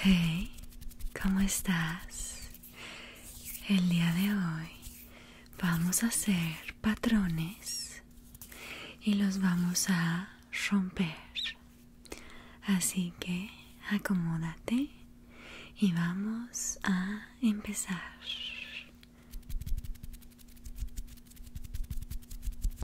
Hey, ¿cómo estás? El día de hoy vamos a hacer patrones y los vamos a romper. Así que acomódate y vamos a empezar.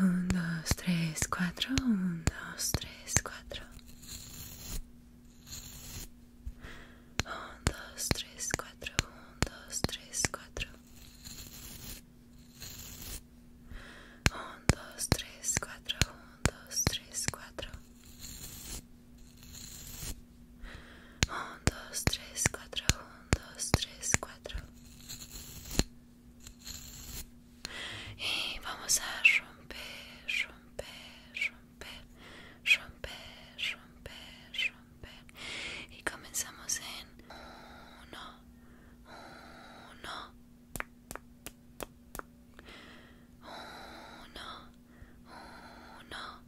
1, 2, tres, cuatro. dos, tres, cuatro. dos, tres, cuatro. dos, tres, cuatro. dos, tres, cuatro. dos, tres, cuatro. 1, 2, 3, 4, 1, 2, 3, 4 y vamos a romper, romper, romper, romper, romper, romper y comenzamos en 1, 1 1 uno,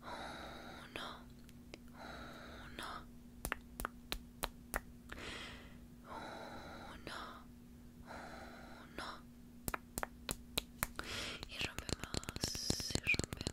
uno, uno, uno, uno. Y rompemos, y rompemos.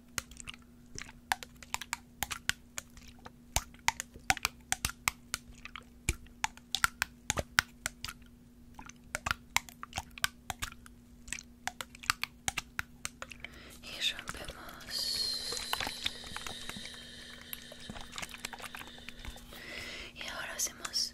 y rompemos y ahora hacemos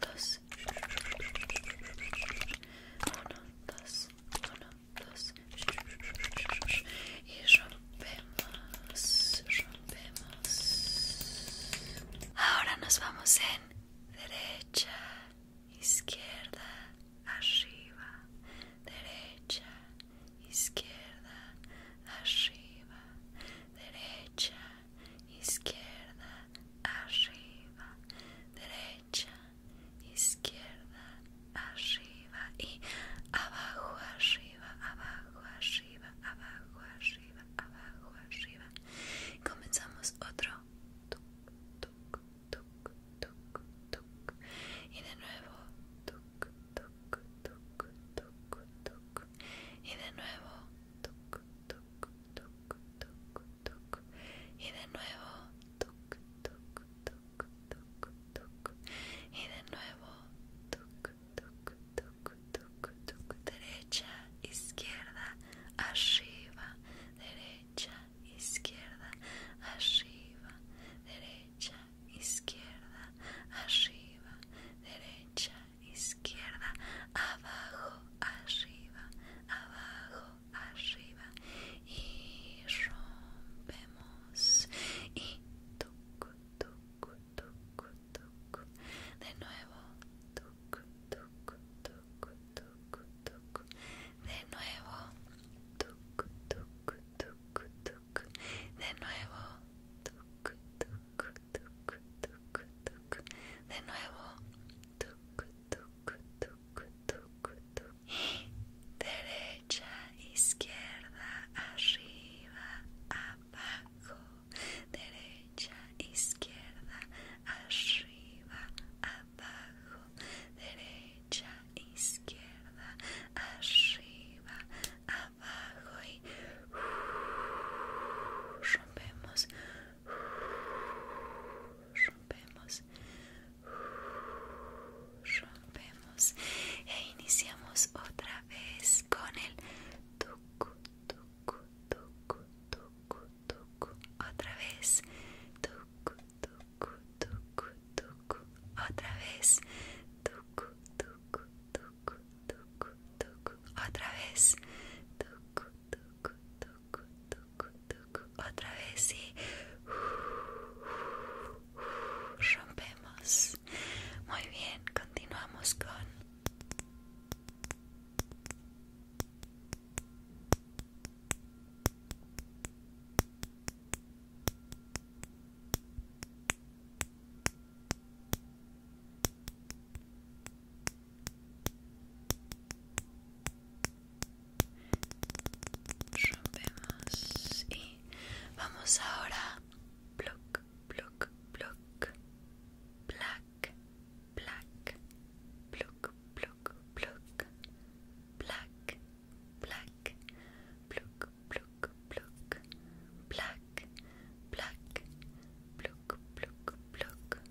dos, uno, dos, uno, dos, y rompemos, rompemos. Ahora nos vamos en derecha, izquierda, arriba, derecha, izquierda, arriba, derecha, izquierda, arriba, derecha, izquierda, arriba y abajo, arriba, abajo, arriba, abajo, arriba, abajo, arriba. comenzamos otro. Y de nuevo. Y de nuevo. tuk y de nuevo, Y de nuevo, Derecha, izquierda, arriba, derecha, izquierda, arriba, derecha, izquierda, arriba, derecha, izquierda, abajo, arriba, abajo, arriba y rompemos y tuc tuc tuc tuc de nuevo tuc tuc tuc tuc tuc de nuevo tuc tuc tuc tuc de nuevo tuc tuc tuc de nuevo derecha, izquierda, arriba, abajo, derecha, izquierda, arriba, abajo, derecha, izquierda, arriba, abajo y uh, rompemos rompemos rompemos e iniciamos otra vez con el tucu tucu otra vez tucu tucu otra vez tucu otra vez tucu otra vez, sí. Rompemos. Muy bien, continuamos con y vamos ahora block block block black black block block block black black block block block black black block block block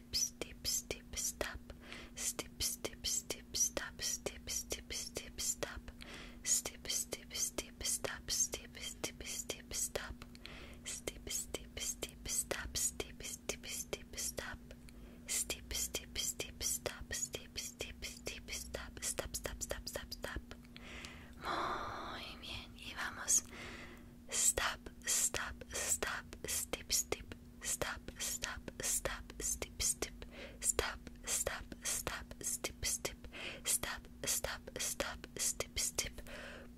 stip, stip, stip, stop, stip, stip, stip, stop, stip, stip, stip, stop, stip, stip, stip, stop, stip, stip, stip, stop, stip, stip, stip, stop, stip, stip, stip, stop, stip, stip, stip, stop, stip, stip, stip, stop, stop, stop, stop, stop, stop. Muy bien, y vamos. Stop, stop, stop, step, step, stop, stop, stop, step, step, stop, stop, stop, step, step, stop, stop, stop, step, step,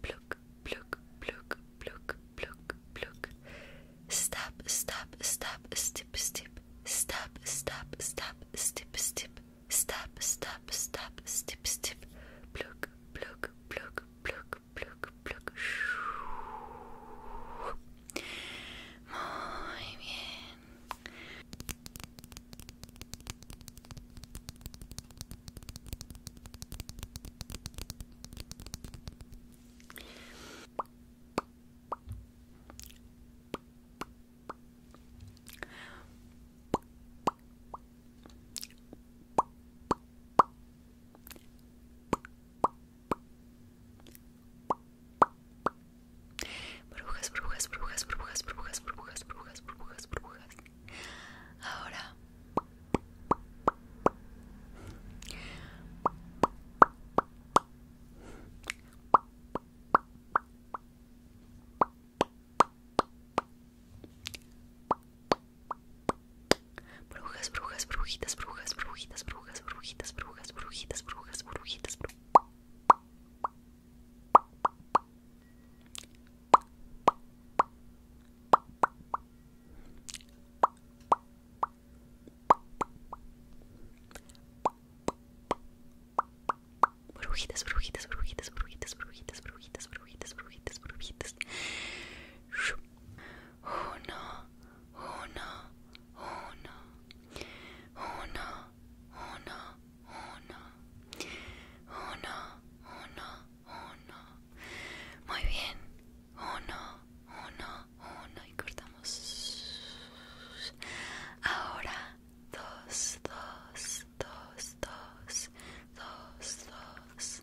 pluck, pluck, pluck, pluck, pluck, pluck, stop, stop, stop, step, step, stop, stop, stop, step, step, stop, stop, stop, step, step, pluck, pluck, pluck, pluck, pluck, pluck. Muy bien. Burbujas, burbujas, burbujas, burbujas, burbujas, burbujas, burbujas, burbujas, burbujas. Ahora Brujas, brujas, brujitas, brujas, brujitas, brujas, brujitas, brujas, brujitas, brujas, brujitas, brujitas. Brujitas, brujitas, brujitas, brujitas, brujitas, brujitas, brujitas, brujitas, brujitas. 1, 1, 1. 1, 1, 1. 1, 1, 1. Muy bien. 1, 1, 1 y cortamos. Ahora, 2, 2, 2, 2, 2, 2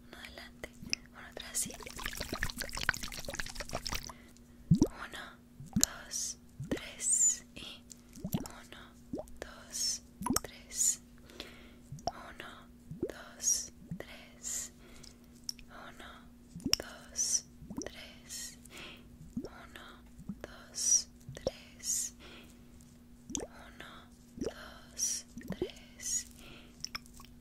uno adelante, uno atrás, 2 Uno, dos, tres y Uno, dos, tres. Uno, dos, tres. Uno, dos, tres. Uno, dos, tres. Uno, dos, tres.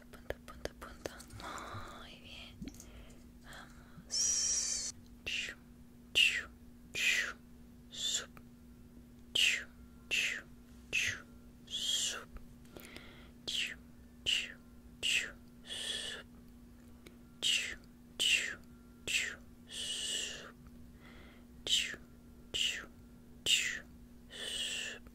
punta, punta, punta, punta. Muy bien. Vamos. Chu, chu, chu, sup. Chu, chu, chu, sup. Chu, chu, chu, sup. Chu, chu, chu, sup. Chu, chu, chu, sup.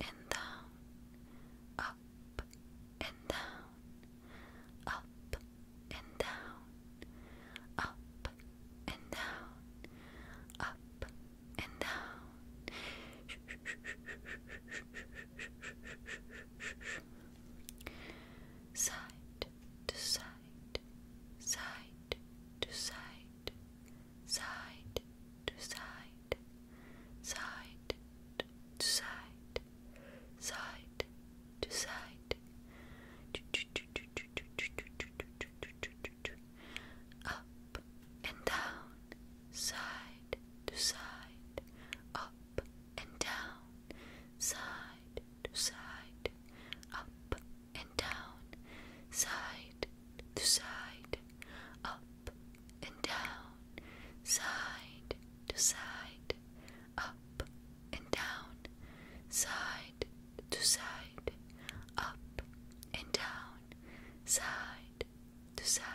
and down, up and down, up and down, up and down, up and down. Side to side, side to side, side to side, side to side, side to side, up and down, side to side, up and down, side to side, up and down, side to side, up and down, side to side, up and down, side to side, up and down, side to side.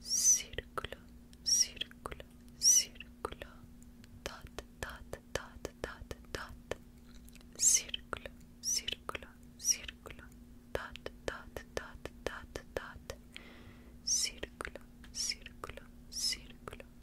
Círculo, círculo, círculo, dot, dot, dot, dot, dot. Círculo, círculo, círculo, dot, dot, dot, dot, dot. Círculo, círculo, círculo,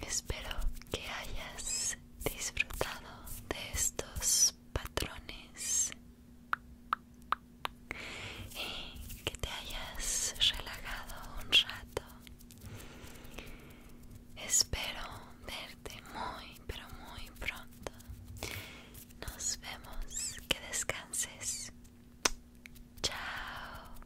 Espero que hayas disfrutado de estos patrones y que te hayas relajado un rato. Espero verte muy, pero muy pronto. Nos vemos. Que descanses. Chao.